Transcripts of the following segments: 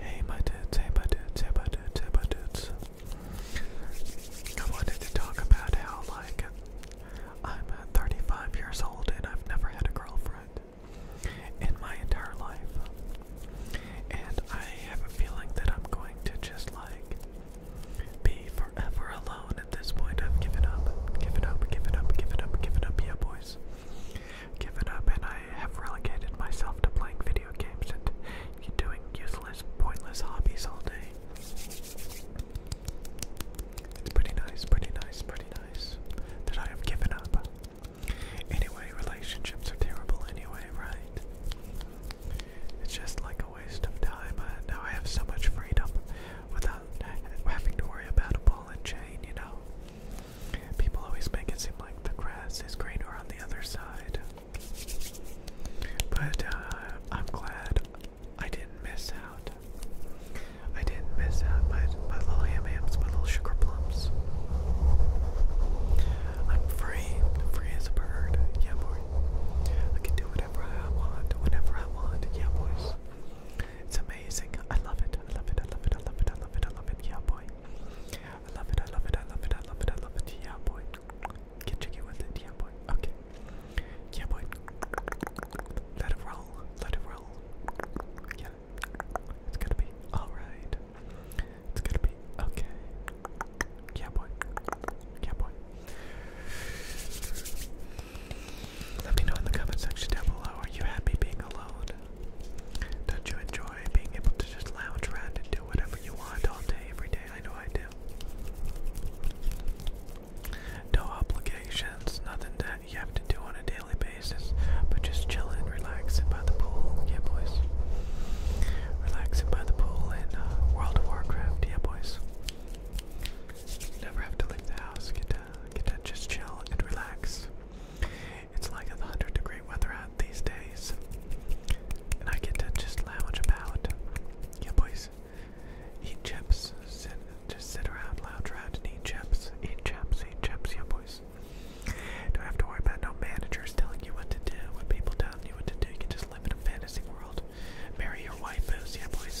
Hey my dudes, hey my dudes, hey my dudes, hey my dudes. I wanted to talk about how like I'm uh, 35 years old and I've never had a girlfriend in my entire life. And I have a feeling that I'm going to just like be forever alone at this point. I've given up, given up, given up, given up, given up, yeah boys given up and I have relegated myself to playing video games and doing useless, pointless hobbies all day. pretty nice, pretty nice, pretty nice that I have given up. Anyway, relationships are terrible anyway, right? It's just like a waste of time. now I have so much freedom without having to worry about a ball and chain, you know? People always make it seem like the grass is greener on the other side. But uh, I'm glad I didn't miss out. I didn't miss out my, my little ham hams, my little sugar plums. I'm free, free as a bird. Yeah, boy. I can do whatever I want, whenever I want. Yeah, boys. It's amazing. I love it. I love it. I love it. I love it. I love it. I love it. Yeah, boy. I love it, I love it, I love it, I love it, I love it. Yeah, boy. Get jiggy with it, yeah, boy. Okay. Yeah, boy. Let it roll, let it roll. Yeah. It's gonna be alright. It's gonna be okay. Yeah, boy. Yeah, boy. Let me know in the comment section down below. Are you happy being alone? Don't you enjoy being able to just lounge around and do whatever you want all day, every day? I know I do. No obligations, nothing that you have to do on a daily basis, but just chilling, relaxing by the pool. Yeah, boys. Relaxing by the pool in uh, World of Warcraft. Yeah, boys. Never have to leave the house. Get to, uh, get to just chill and relax. It's like a 100 degree weather out these days. And I get to just lounge about. Yeah, boys. Eat chips. Sit, just sit around, lounge around, eat chips. Eat chips, eat chips, yeah, boys. Don't have to worry about no managers telling you what to do, when people telling you what to do. You can just live in a fantasy world. Marry your waifus, yeah, boys.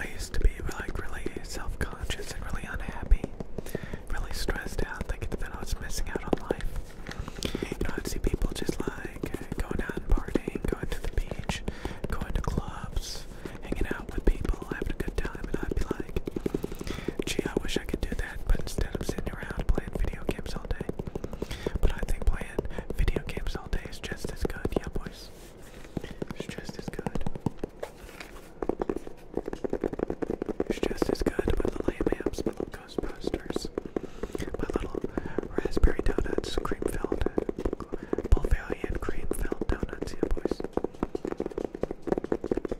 I used to be like really self conscious and really unhappy, really stressed out, thinking that I was missing out on life. You I'd see people just like uh, going out and partying, going to the beach, going to clubs, hanging out with people, having a good time, and I'd be like, gee, I wish I could do that, but instead I'm sitting around playing video games all day. But I think playing video games all day is just as good, yeah, boys. It's just as good. It's just as good with the lamb amps, my little Ghostbusters, my little raspberry donuts, cream filled Bavarian cream filled donuts here, boys.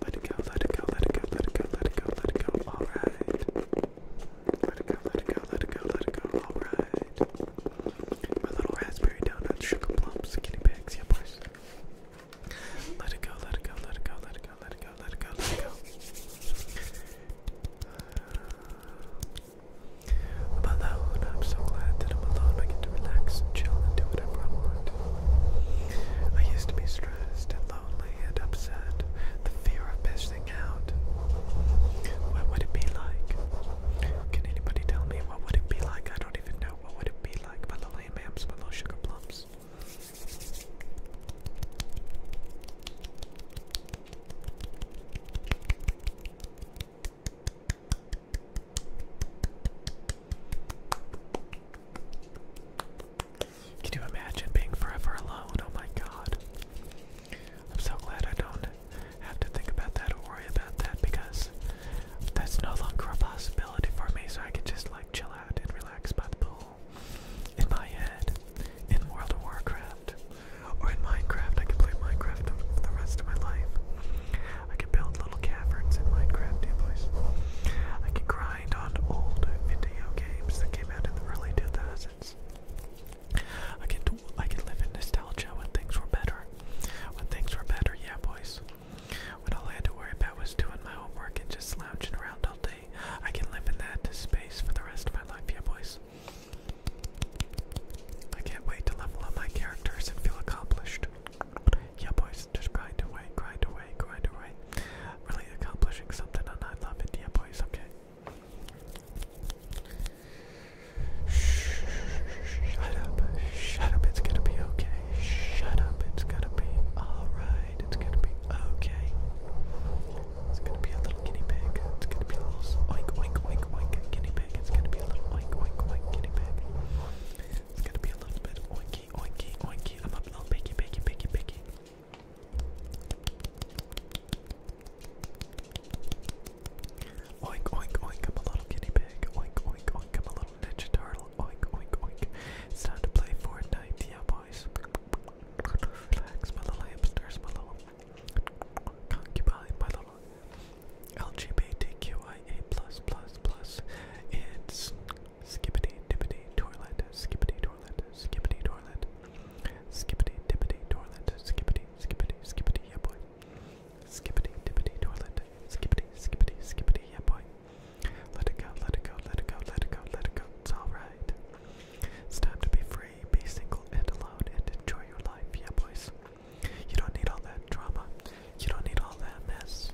Let it go, let it go, let it go, let it go, let it go, let it go. All right. Let it go, let it go, let it go, let it go. All right. My little raspberry donuts, sugar plums, guinea pigs, yeah, boys. Let it go, let it go, let it go, let it go, let it go, let it go, let it go. Uh, i alone. I'm so glad that I'm alone. I get to relax chill and do whatever I want. I used to be stressed and lonely and upset. The fear of missing out. What would it be like? Can anybody tell me what would it be like? I don't even know what would it be like. My little yams, little sugar plums. Can you imagine being forever alone? Oh my god. I'm so glad I don't have to think about that or worry about that because that's no longer a possibility for me, so I can just like chill out and relax by the pool in my head in World of Warcraft. Or in Minecraft, I can play Minecraft for the rest of my life. I could build little caverns in Minecraft, you boys. I could grind on old video games that came out in the early 2000s. I could, I could live in nostalgia when things were better. When things were better, yeah, boys. When all I had to worry about was doing my homework and just slouching around all day, I can live in that space for the rest of my life, yeah, boys. I can't wait to level up my characters and feel accomplished. Yeah, boys, just grind away, grind away, grind away. Really accomplishing something, and I love it. Yeah, boys, okay. Shut up, shut up, it's gonna be okay. Shut up, it's gonna be alright, it's gonna be okay. It's gonna be a little guinea pig. It's gonna be a little oink oink oink oink guinea pig. It's gonna be a little oink oink oink guinea pig. It's gonna be a little bit oinky oinky oinky. I'm up little piggy piggy piggy piggy. Oink oink oink, I'm a little guinea pig. Oink oink oink, I'm a little ninja turtle. Oink oink oink. It's time to play Fortnite, yeah boys. Relax, my little hamsters, my concubine, my little LGBTQIA plus plus plus. It's skippity dippity toilet, skippity toilet, skippity toilet, skippity dippity toilet, skippity, skippity, skippity, yeah boy. Skippity dippity toilet, skippity, skippity, skippity, yeah boy. Let it go, let it go, let it go, let it go, let it go. It's alright. It's time to be free, be single and alone, and enjoy your life. Yeah, boys. You don't need all that drama. You don't need all that mess.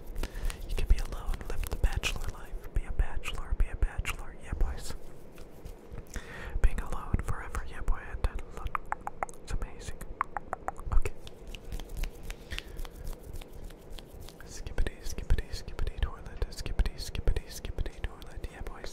You can be alone, live the bachelor life. Be a bachelor, be a bachelor. Yeah, boys. Being alone forever. Yeah, boy. That it's amazing. Okay. Skippity, skippity, skippity toilet. Skippity, skippity, skippity toilet. Yeah, boys.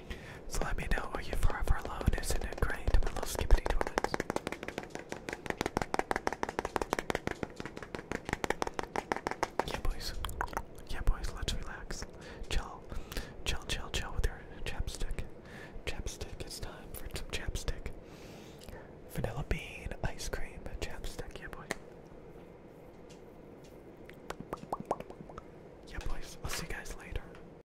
So let me know, are you forever alone? Isn't it great? My little skippity toilets. Yeah, boys. Yeah, boys, let's relax. Chill. Chill, chill, chill with your chapstick. Chapstick, it's time for some chapstick. Vanilla bean, ice cream, chapstick, yeah, boy. Yeah, boys, I'll see you guys later.